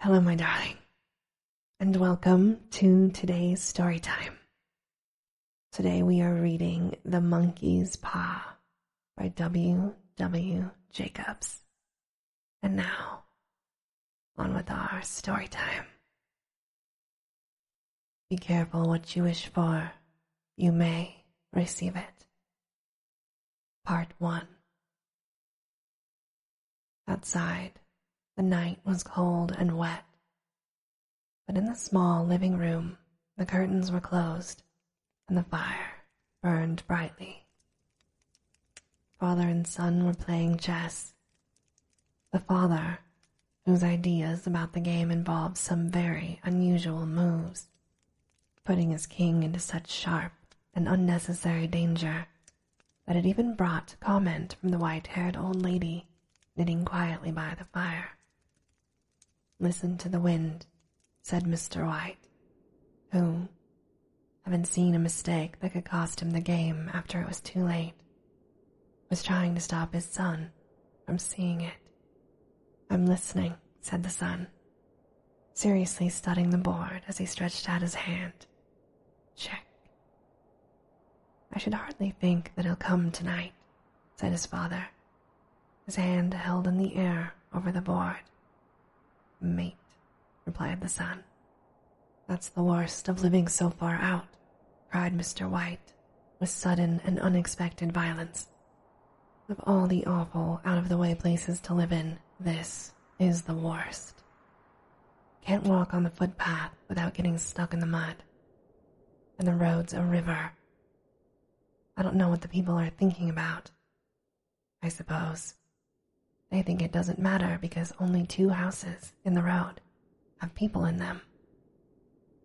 Hello, my darling, and welcome to today's story time. Today we are reading The Monkey's Paw by W. W. Jacobs. And now, on with our story time. Be careful what you wish for, you may receive it. Part 1 Outside, the night was cold and wet, but in the small living room, the curtains were closed and the fire burned brightly. Father and son were playing chess. The father, whose ideas about the game involved some very unusual moves, putting his king into such sharp and unnecessary danger that had even brought comment from the white-haired old lady knitting quietly by the fire. Listen to the wind, said Mr. White, who, having seen a mistake that could cost him the game after it was too late, was trying to stop his son from seeing it. I'm listening, said the son seriously studying the board as he stretched out his hand. Check. I should hardly think that he'll come tonight, said his father, his hand held in the air over the board. Mate, replied the son. That's the worst of living so far out, cried Mr. White with sudden and unexpected violence. Of all the awful, out of the way places to live in, this is the worst. Can't walk on the footpath without getting stuck in the mud. And the road's a river. I don't know what the people are thinking about. I suppose. They think it doesn't matter because only two houses in the road have people in them.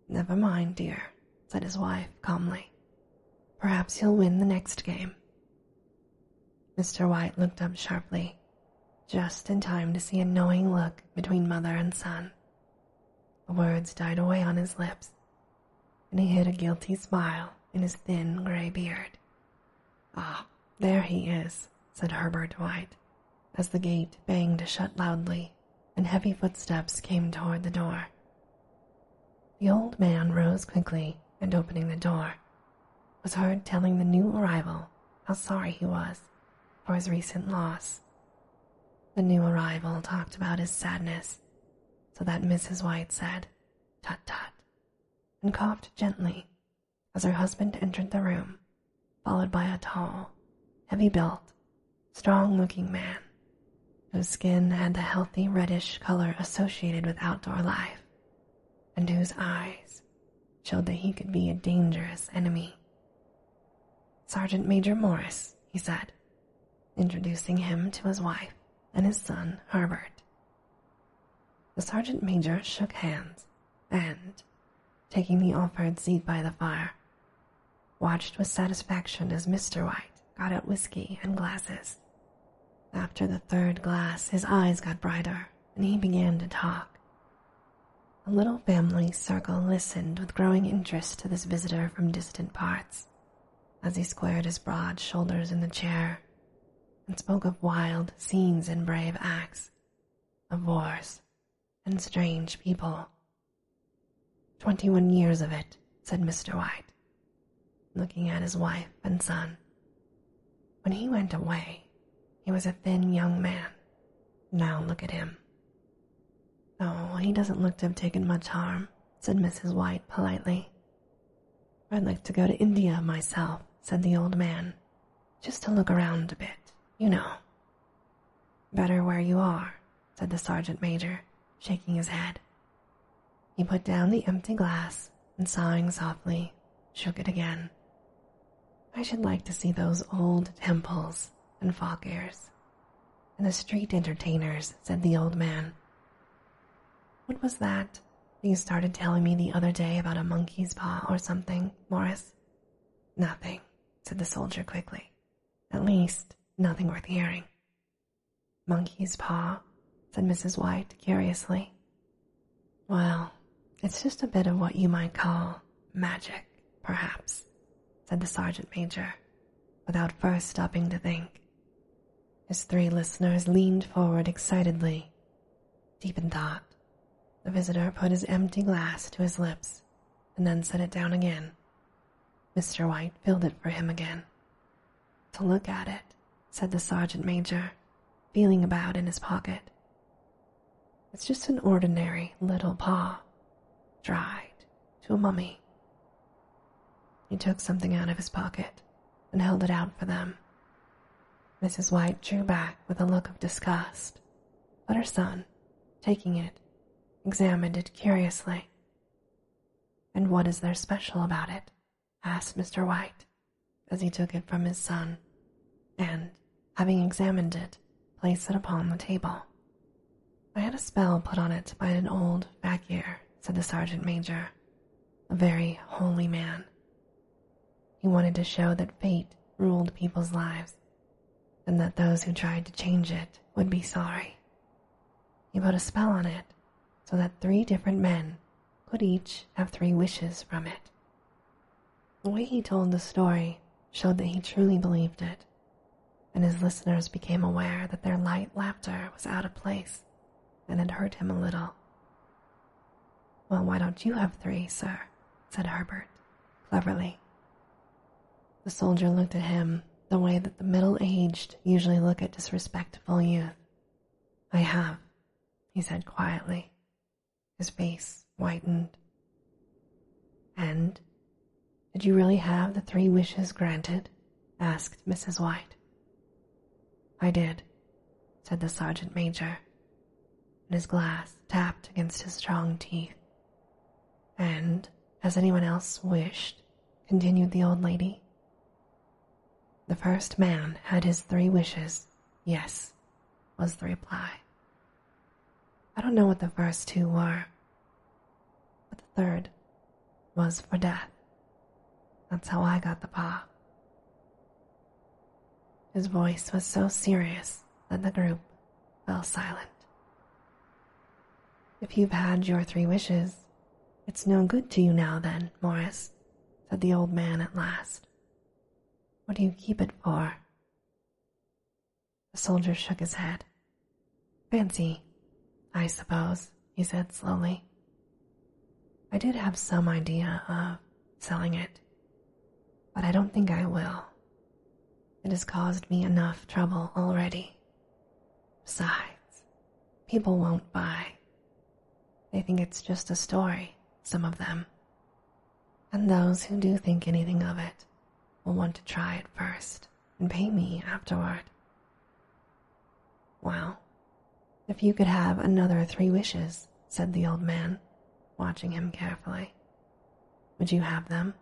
Never mind, dear, said his wife calmly. Perhaps he'll win the next game. Mr. White looked up sharply, just in time to see a knowing look between mother and son. The words died away on his lips, and he hid a guilty smile in his thin gray beard. Ah, there he is, said Herbert White, as the gate banged shut loudly and heavy footsteps came toward the door. The old man rose quickly and opening the door, was heard telling the new arrival how sorry he was for his recent loss. The new arrival talked about his sadness, so that Mrs. White said, Tut tut, and coughed gently as her husband entered the room, followed by a tall, heavy built, strong looking man whose skin had the healthy reddish color associated with outdoor life, and whose eyes showed that he could be a dangerous enemy. Sergeant Major Morris, he said, introducing him to his wife and his son, Herbert. The sergeant major shook hands and, taking the offered seat by the fire, watched with satisfaction as Mr. White got out whisky and glasses. After the third glass, his eyes got brighter and he began to talk. The little family circle listened with growing interest to this visitor from distant parts as he squared his broad shoulders in the chair and spoke of wild scenes and brave acts, of wars and strange people. Twenty one years of it, said Mr. White, looking at his wife and son. When he went away, he was a thin young man. Now look at him. Oh, he doesn't look to have taken much harm, said Mrs. White politely. I'd like to go to India myself, said the old man, just to look around a bit, you know. Better where you are, said the sergeant major, shaking his head. He put down the empty glass and sighing softly, shook it again. I should like to see those old temples and fakirs and the street entertainers, said the old man. What was that you started telling me the other day about a monkey's paw or something, Morris? Nothing, said the soldier quickly. At least, nothing worth hearing. Monkey's paw, said Mrs. White curiously, well, it's just a bit of what you might call magic, perhaps, said the sergeant major, without first stopping to think. His three listeners leaned forward excitedly, deep in thought. The visitor put his empty glass to his lips and then set it down again. Mr. White filled it for him again. To look at it said the sergeant major, feeling about in his pocket. It's just an ordinary little paw, dried to a mummy. He took something out of his pocket and held it out for them. Mrs. White drew back with a look of disgust, but her son, taking it, examined it curiously. And what is there special about it? asked Mr. White as he took it from his son and, having examined it, placed it upon the table. I had a spell put on it by an old fakir, said the sergeant major, a very holy man. He wanted to show that fate ruled people's lives and that those who tried to change it would be sorry. He put a spell on it so that three different men could each have three wishes from it. The way he told the story showed that he truly believed it, and his listeners became aware that their light laughter was out of place and had hurt him a little. Well, why don't you have three, sir? said Herbert, cleverly. The soldier looked at him the way that the middle aged usually look at disrespectful youth. I have, he said quietly, his face whitened. And did you really have the three wishes granted? asked Mrs. White. I did, said the sergeant major, and his glass tapped against his strong teeth. And has anyone else wished? continued the old lady. The first man had his three wishes Yes, was the reply. I don't know what the first two were, but the third was for death. That's how I got the paw. His voice was so serious that the group fell silent. If you've had your three wishes, it's no good to you now, then, Morris, said the old man at last. What do you keep it for? The soldier shook his head. Fancy, I suppose, he said slowly. I did have some idea of selling it, but I don't think I will. It has caused me enough trouble already. Besides, people won't buy. They think it's just a story, some of them and those who do think anything of it will want to try it first and pay me afterward. Well, if you could have another three wishes, said the old man, watching him carefully, would you have them?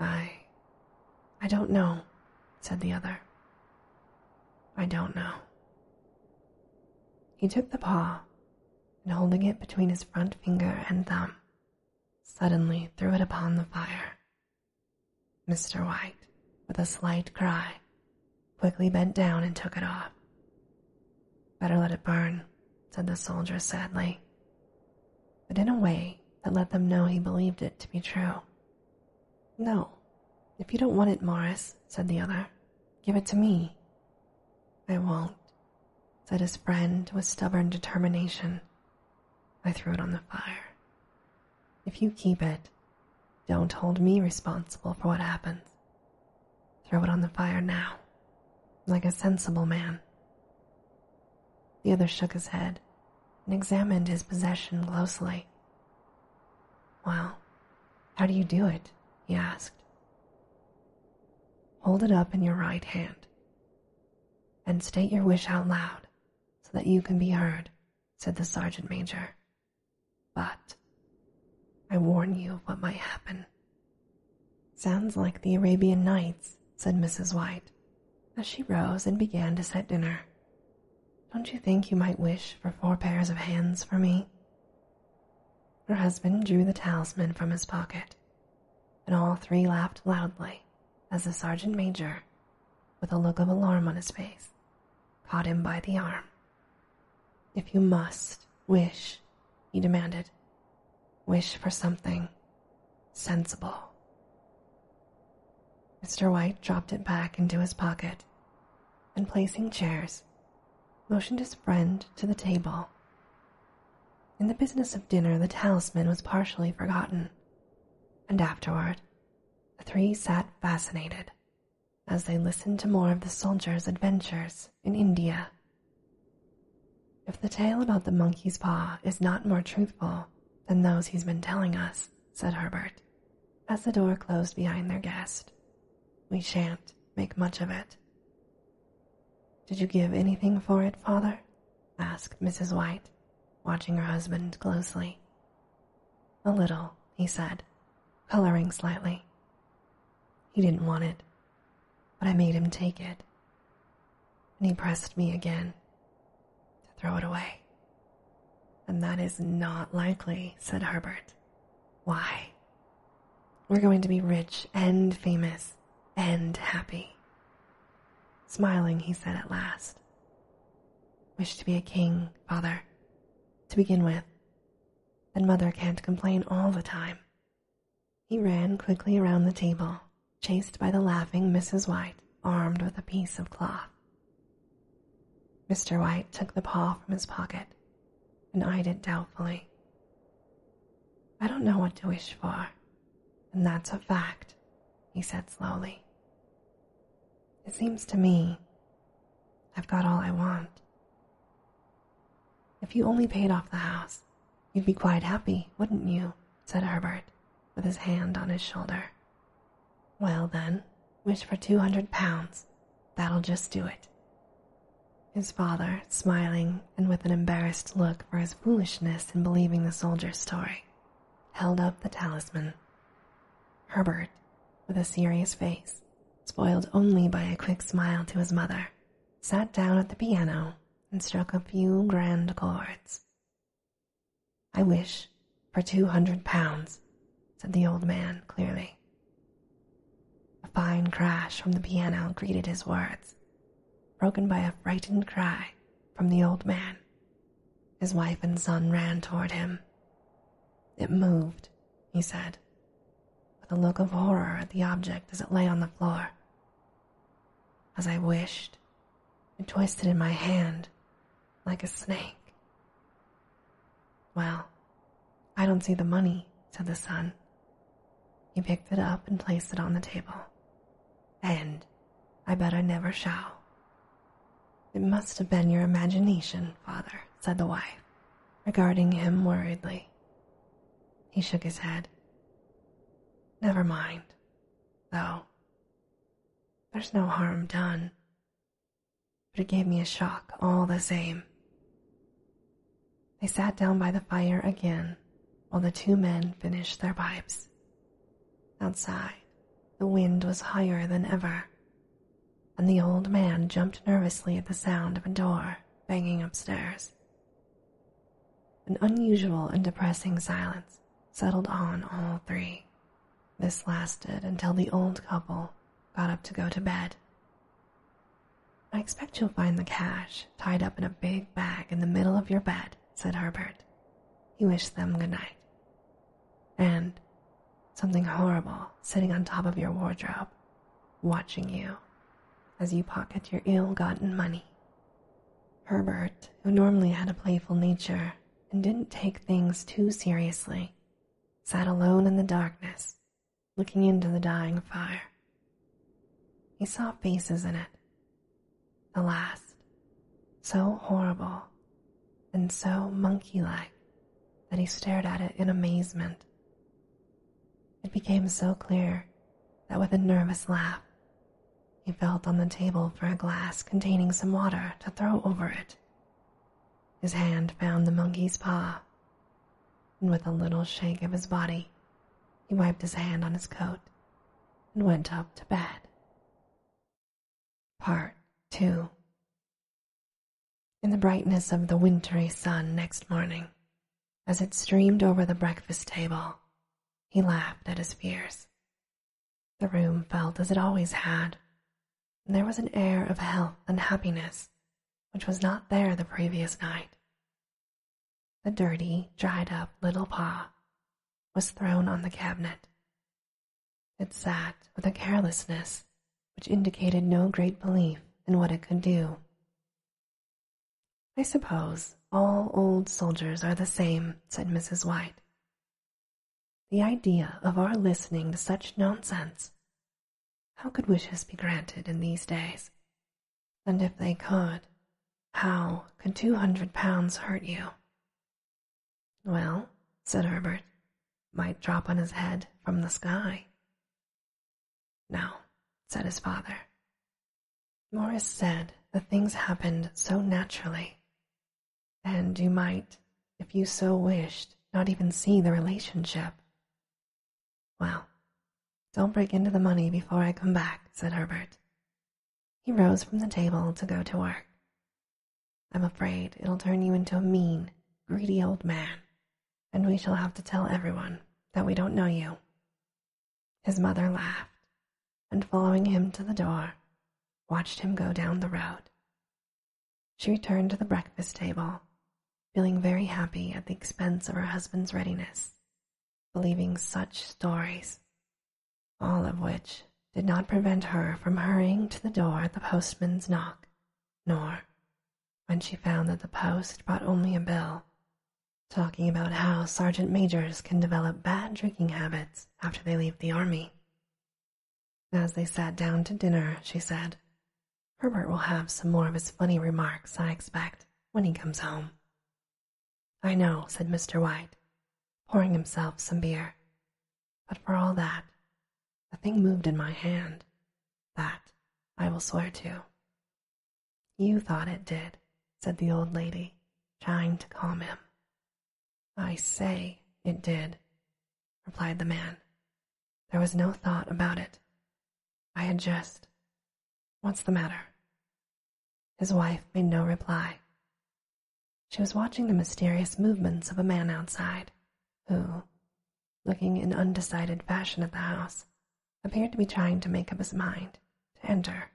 I. I don't know, said the other. I don't know. He took the paw and holding it between his front finger and thumb, suddenly threw it upon the fire. Mr. White, with a slight cry, quickly bent down and took it off. Better let it burn, said the soldier sadly, but in a way that let them know he believed it to be true. No, if you don't want it, Morris, said the other, give it to me, I won't, said his friend with stubborn determination. I threw it on the fire. If you keep it, don't hold me responsible for what happens. Throw it on the fire now, like a sensible man. The other shook his head and examined his possession closely. Well, how do you do it? he asked. Hold it up in your right hand and state your wish out loud so that you can be heard, said the sergeant major. But I warn you of what might happen. Sounds like the Arabian Nights, said Mrs. White as she rose and began to set dinner. Don't you think you might wish for four pairs of hands for me? Her husband drew the talisman from his pocket, and all three laughed loudly as the sergeant major, with a look of alarm on his face, caught him by the arm. If you must wish, he demanded, wish for something sensible. Mr. White dropped it back into his pocket and placing chairs motioned his friend to the table. In the business of dinner, the talisman was partially forgotten, and afterward, the three sat fascinated as they listened to more of the soldier's adventures in India. If the tale about the monkey's paw is not more truthful than those he's been telling us, said Herbert, as the door closed behind their guest, we shan't make much of it. Did you give anything for it, father? asked Mrs. White, watching her husband closely. A little, he said, coloring slightly. He didn't want it, but I made him take it. And he pressed me again to throw it away. And that is not likely, said Herbert. Why? We're going to be rich and famous and happy. Smiling, he said at last. Wish to be a king, father, to begin with. And mother can't complain all the time. He ran quickly around the table, chased by the laughing Mrs. White, armed with a piece of cloth. Mr. White took the paw from his pocket and eyed it doubtfully. I don't know what to wish for, and that's a fact, he said slowly. It seems to me I've got all I want. If you only paid off the house, you'd be quite happy, wouldn't you? said Herbert, with his hand on his shoulder. Well, then, wish for two hundred pounds That'll just do it. His father, smiling and with an embarrassed look for his foolishness in believing the soldier's story, held up the talisman. Herbert, with a serious face, spoiled only by a quick smile to his mother, sat down at the piano and struck a few grand chords. I wish for two hundred pounds, said the old man clearly. A fine crash from the piano greeted his words, broken by a frightened cry from the old man. His wife and son ran toward him. It moved, he said, with a look of horror at the object as it lay on the floor. As I wished, it twisted in my hand like a snake. Well, I don't see the money, said the son. He picked it up and placed it on the table. And I bet I never shall. It must have been your imagination, father, said the wife, regarding him worriedly. He shook his head. Never mind, though. There's no harm done. But it gave me a shock all the same. They sat down by the fire again while the two men finished their pipes. Outside, the wind was higher than ever, and the old man jumped nervously at the sound of a door banging upstairs. An unusual and depressing silence settled on all three. This lasted until the old couple got up to go to bed. I expect you'll find the cash tied up in a big bag in the middle of your bed, said Herbert. He wished them good night. And something horrible sitting on top of your wardrobe, watching you as you pocket your ill gotten money. Herbert, who normally had a playful nature and didn't take things too seriously, sat alone in the darkness, looking into the dying fire. He saw faces in it, the last, so horrible and so monkey like that he stared at it in amazement. It became so clear that with a nervous laugh, he felt on the table for a glass containing some water to throw over it. His hand found the monkey's paw and with a little shake of his body, he wiped his hand on his coat and went up to bed. Part 2 In the brightness of the wintry sun next morning, as it streamed over the breakfast table, he laughed at his fears. The room felt as it always had, and there was an air of health and happiness which was not there the previous night. The dirty, dried up little paw was thrown on the cabinet. It sat with a carelessness which indicated no great belief in what it could do. I suppose all old soldiers are the same, said Mrs. White. The idea of our listening to such nonsense how could wishes be granted in these days? And if they could, how could two hundred pounds hurt you? Well, said Herbert, might drop on his head from the sky. No, said his father. Morris said the things happened so naturally, and you might, if you so wished, not even see the relationship. Well, don't break into the money before I come back, said Herbert. He rose from the table to go to work. I'm afraid it'll turn you into a mean, greedy old man, and we shall have to tell everyone that we don't know you. His mother laughed, and following him to the door, watched him go down the road. She returned to the breakfast table, feeling very happy at the expense of her husband's readiness believing such stories, all of which did not prevent her from hurrying to the door at the postman's knock, nor, when she found that the post brought only a bill, talking about how sergeant majors can develop bad drinking habits after they leave the army. As they sat down to dinner, she said, Herbert will have some more of his funny remarks, I expect when he comes home. I know, said Mr. White, pouring himself some beer. But for all that, the thing moved in my hand. That I will swear to. You thought it did, said the old lady, trying to calm him. I say it did, replied the man. There was no thought about it. I had just What's the matter? His wife made no reply. She was watching the mysterious movements of a man outside, who, looking in undecided fashion at the house, appeared to be trying to make up his mind to enter.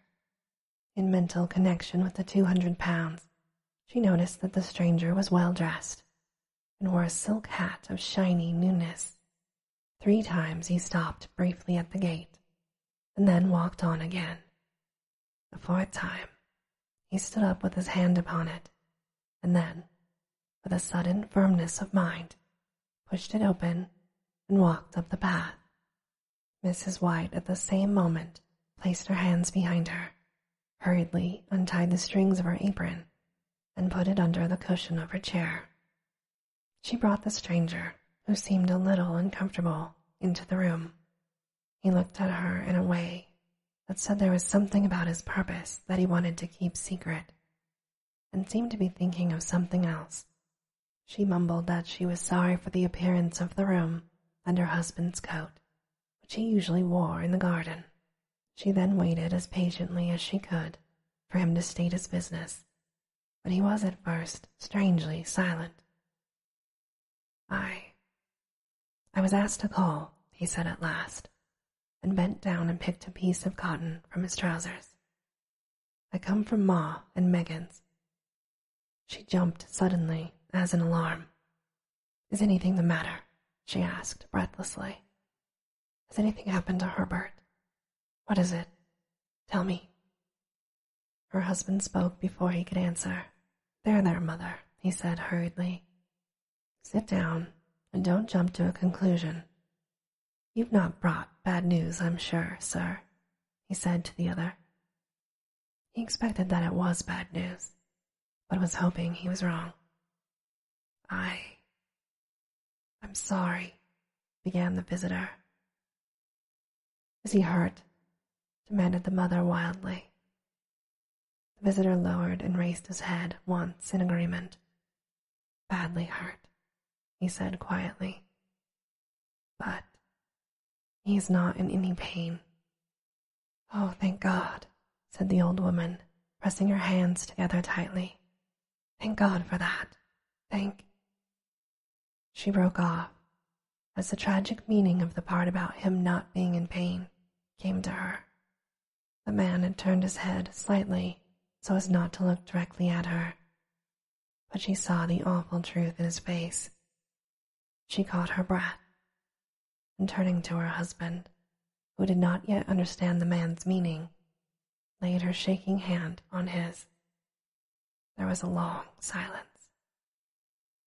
In mental connection with the two hundred pounds, she noticed that the stranger was well dressed and wore a silk hat of shiny newness Three times he stopped briefly at the gate and then walked on again. The fourth time, he stood up with his hand upon it and then, with a sudden firmness of mind, pushed it open and walked up the path. Mrs. White at the same moment placed her hands behind her, hurriedly untied the strings of her apron, and put it under the cushion of her chair. She brought the stranger, who seemed a little uncomfortable, into the room. He looked at her in a way that said there was something about his purpose that he wanted to keep secret, and seemed to be thinking of something else. She mumbled that she was sorry for the appearance of the room and her husband's coat, which he usually wore in the garden. She then waited as patiently as she could for him to state his business but he was at first strangely silent. I. I was asked to call, he said at last, and bent down and picked a piece of cotton from his trousers. I come from Ma and Megan's. She jumped suddenly, as in alarm. Is anything the matter? she asked breathlessly. Has anything happened to Herbert? What is it? Tell me. Her husband spoke before he could answer. There, there, mother, he said hurriedly. Sit down and don't jump to a conclusion. You've not brought bad news, I'm sure, sir, he said to the other. He expected that it was bad news, but was hoping he was wrong. I. I'm sorry, began the visitor. Is he hurt? demanded the mother wildly. The visitor lowered and raised his head once in agreement. Badly hurt, he said quietly. But he is not in any pain. Oh, thank God, said the old woman, pressing her hands together tightly. Thank God for that. Thank. She broke off as the tragic meaning of the part about him not being in pain came to her. The man had turned his head slightly so as not to look directly at her, but she saw the awful truth in his face. She caught her breath and turning to her husband, who did not yet understand the man's meaning, laid her shaking hand on his. There was a long silence.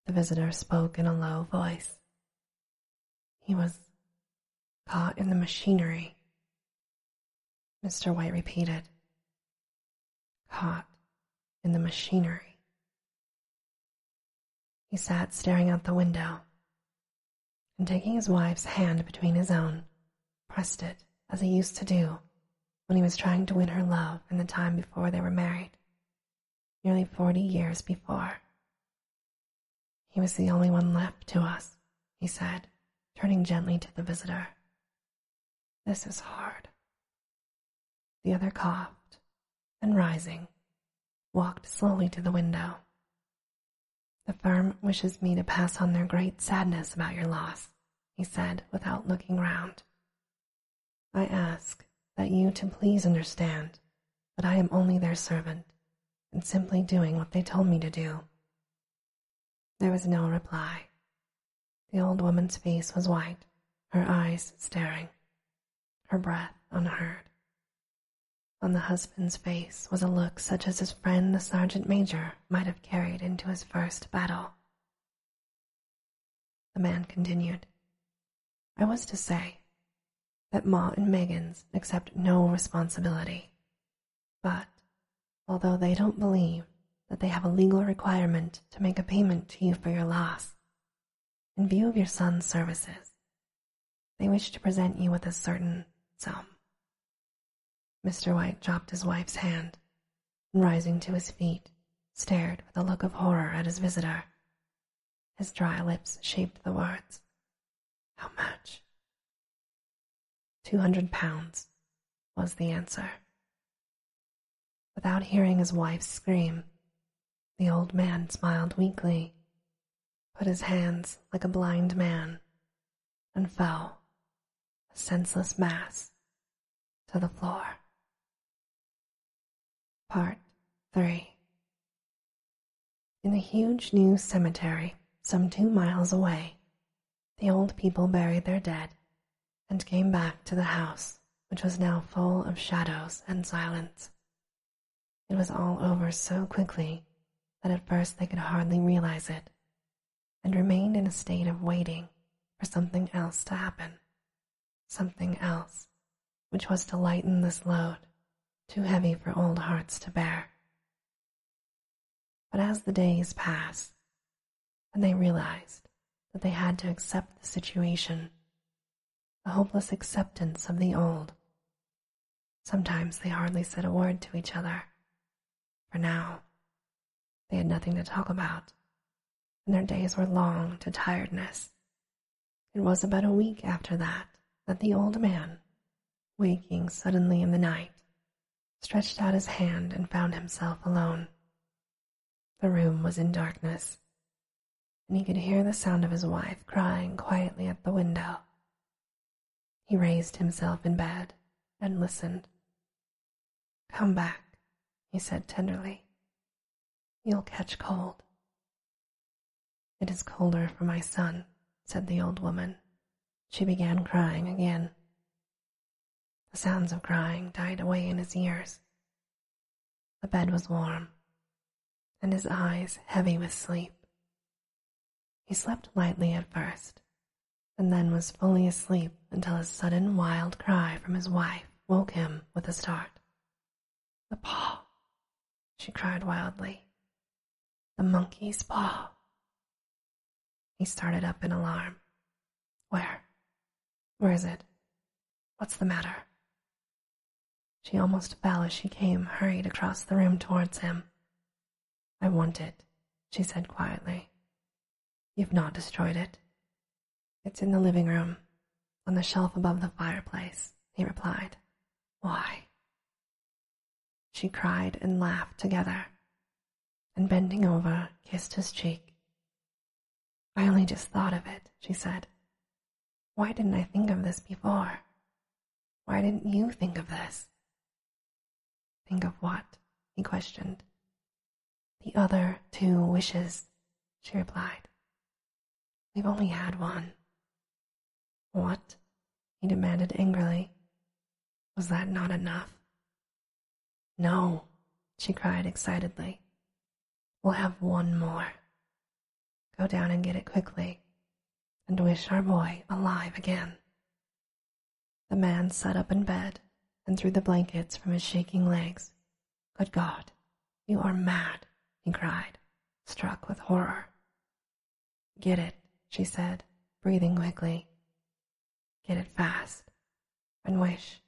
The visitor spoke in a low voice. He was caught in the machinery. Mr. White repeated, Caught in the machinery. He sat staring out the window and taking his wife's hand between his own, pressed it as he used to do when he was trying to win her love in the time before they were married, nearly forty years before. He was the only one left to us, he said, turning gently to the visitor. This is hard. The other coughed and, rising, walked slowly to the window. The firm wishes me to pass on their great sadness about your loss, he said without looking round. I ask that you to please understand that I am only their servant and simply doing what they told me to do. There was no reply. The old woman's face was white, her eyes staring, her breath unheard. On the husband's face was a look such as his friend the sergeant major might have carried into his first battle the man continued, I was to say that Ma and Megan's accept no responsibility, but although they don't believe that they have a legal requirement to make a payment to you for your loss, in view of your son's services, they wish to present you with a certain sum. Mr. White dropped his wife's hand, and rising to his feet, stared with a look of horror at his visitor. His dry lips shaped the words, How much? Two hundred pounds was the answer. Without hearing his wife's scream, the old man smiled weakly, put his hands like a blind man, and fell, a senseless mass, to the floor. Part 3 In the huge new cemetery, some two miles away, the old people buried their dead and came back to the house, which was now full of shadows and silence. It was all over so quickly that at first they could hardly realize it and remained in a state of waiting for something else to happen, something else which was to lighten this load, too heavy for old hearts to bear. But as the days passed, and they realized that they had to accept the situation, the hopeless acceptance of the old. Sometimes they hardly said a word to each other, for now they had nothing to talk about, and their days were long to tiredness. It was about a week after that that the old man, waking suddenly in the night, stretched out his hand and found himself alone. The room was in darkness, and he could hear the sound of his wife crying quietly at the window. He raised himself in bed and listened Come back, he said tenderly. You'll catch cold. It is colder for my son, said the old woman. She began crying again. The sounds of crying died away in his ears. The bed was warm, and his eyes heavy with sleep. He slept lightly at first, and then was fully asleep until a sudden wild cry from his wife woke him with a start. The paw, she cried wildly. The monkey's paw. He started up in alarm. Where? Where is it? What's the matter? She almost fell as she came, hurried across the room towards him. I want it, she said quietly. You've not destroyed it. It's in the living room, on the shelf above the fireplace, he replied. Why? She cried and laughed together, and bending over, kissed his cheek. I only just thought of it, she said. Why didn't I think of this before? Why didn't you think of this? Think of what? he questioned. The other two wishes, she replied. We've only had one. What? he demanded angrily. Was that not enough? No, she cried excitedly. We'll have one more. Go down and get it quickly, and wish our boy alive again. The man sat up in bed and threw the blankets from his shaking legs. Good God, you are mad, he cried, struck with horror. Get it, she said, breathing quickly. Get it fast, and wish.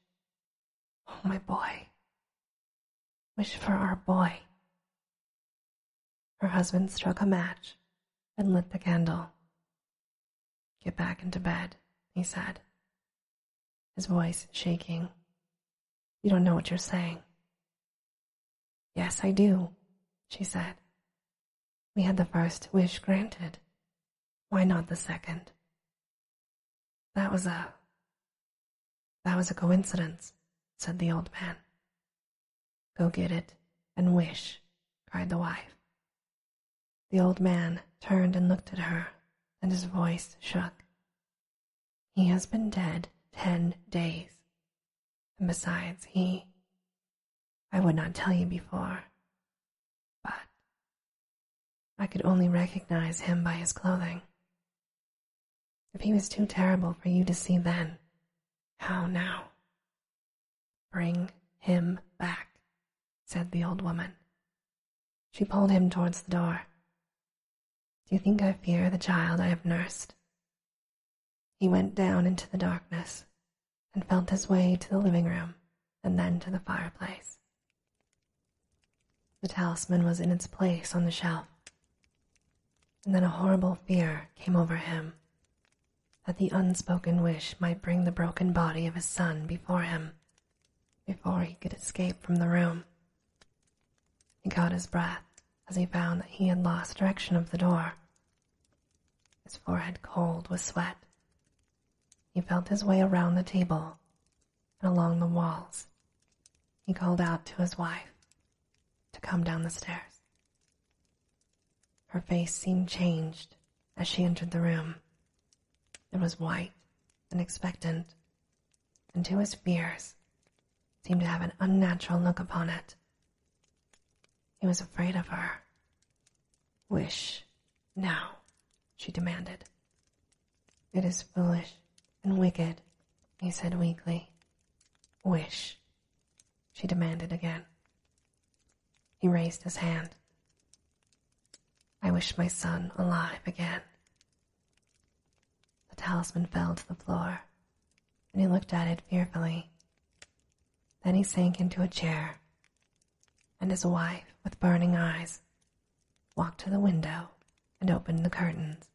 Oh, my boy. Wish for our boy. Her husband struck a match and lit the candle. Get back into bed, he said, his voice shaking. You don't know what you're saying. Yes, I do, she said. We had the first wish granted. Why not the second? That was a. That was a coincidence, said the old man. Go get it and wish, cried the wife. The old man turned and looked at her, and his voice shook. He has been dead ten days. And besides, he. I would not tell you before, but I could only recognize him by his clothing. If he was too terrible for you to see then, how now? Bring him back, said the old woman, she pulled him towards the door. Do you think I fear the child I have nursed? He went down into the darkness and felt his way to the living room and then to the fireplace. The talisman was in its place on the shelf. And then a horrible fear came over him that the unspoken wish might bring the broken body of his son before him before he could escape from the room. He caught his breath as he found that he had lost direction of the door. His forehead cold with sweat. He felt his way around the table and along the walls. He called out to his wife to come down the stairs. Her face seemed changed as she entered the room. It was white and expectant, and to his fears seemed to have an unnatural look upon it. He was afraid of her. Wish now, she demanded. It is foolish and wicked, he said weakly. Wish, she demanded again. He raised his hand. I wish my son alive again. The talisman fell to the floor, and he looked at it fearfully. Then he sank into a chair, and his wife, with burning eyes, walked to the window and opened the curtains.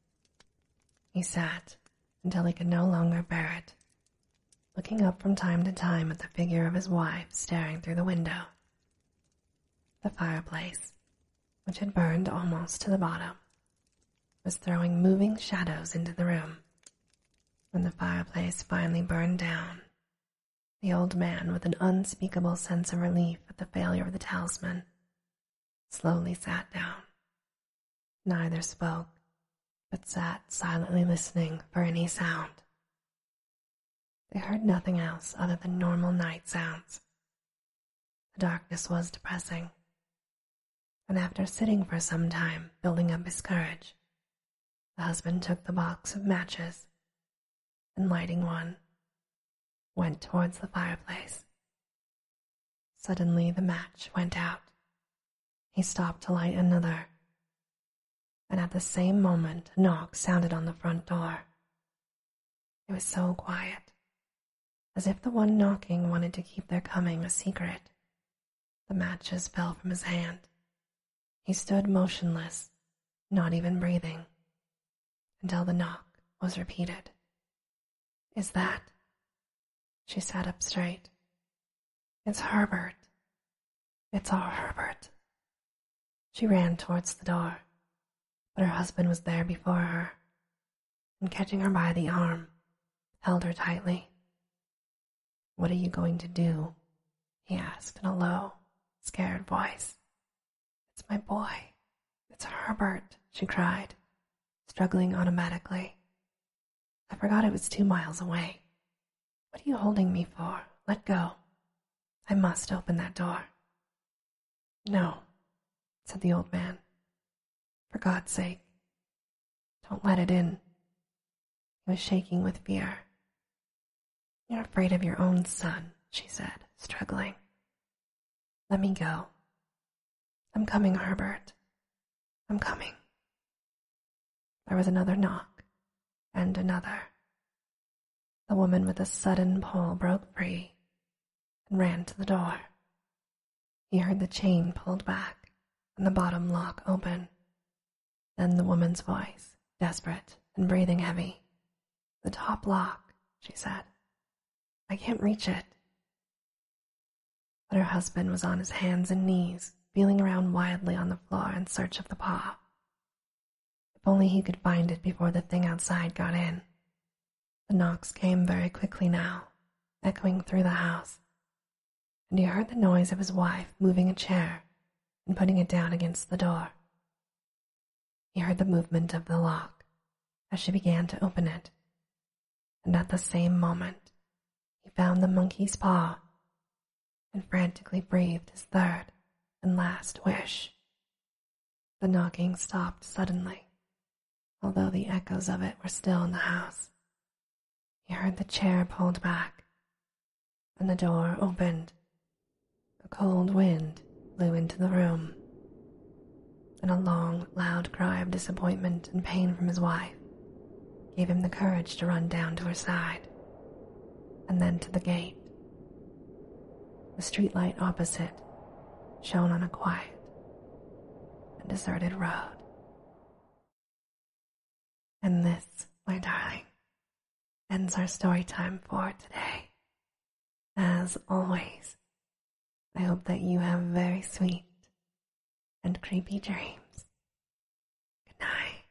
He sat until he could no longer bear it, looking up from time to time at the figure of his wife staring through the window. The fireplace, which had burned almost to the bottom, was throwing moving shadows into the room. When the fireplace finally burned down, the old man, with an unspeakable sense of relief at the failure of the talisman, slowly sat down. Neither spoke, but sat silently listening for any sound. They heard nothing else other than normal night sounds. The darkness was depressing, and after sitting for some time, building up his courage, the husband took the box of matches and lighting one, went towards the fireplace. Suddenly, the match went out. He stopped to light another, and at the same moment, a knock sounded on the front door. It was so quiet, as if the one knocking wanted to keep their coming a secret. The matches fell from his hand. He stood motionless, not even breathing, until the knock was repeated. Is that? She sat up straight. It's Herbert. It's our Herbert. She ran towards the door, but her husband was there before her, and catching her by the arm, held her tightly. What are you going to do? he asked in a low, scared voice. It's my boy. It's Herbert, she cried, struggling automatically. I forgot it was two miles away. What are you holding me for? Let go. I must open that door. No, said the old man. For God's sake, don't let it in. He was shaking with fear. You're afraid of your own son, she said, struggling. Let me go. I'm coming, Herbert. I'm coming. There was another knock, and another. The woman with the sudden pull broke free and ran to the door. He heard the chain pulled back and the bottom lock open. Then the woman's voice, desperate and breathing heavy. The top lock, she said. I can't reach it. But her husband was on his hands and knees, feeling around wildly on the floor in search of the paw. If only he could find it before the thing outside got in. The knocks came very quickly now, echoing through the house, and he heard the noise of his wife moving a chair and putting it down against the door. He heard the movement of the lock as she began to open it, and at the same moment he found the monkey's paw and frantically breathed his third and last wish. The knocking stopped suddenly, although the echoes of it were still in the house. He heard the chair pulled back, and the door opened. A cold wind blew into the room, and a long, loud cry of disappointment and pain from his wife gave him the courage to run down to her side, and then to the gate. The streetlight opposite shone on a quiet and deserted road. And this, my darling, ends our story time for today. As always, I hope that you have very sweet and creepy dreams. Good night.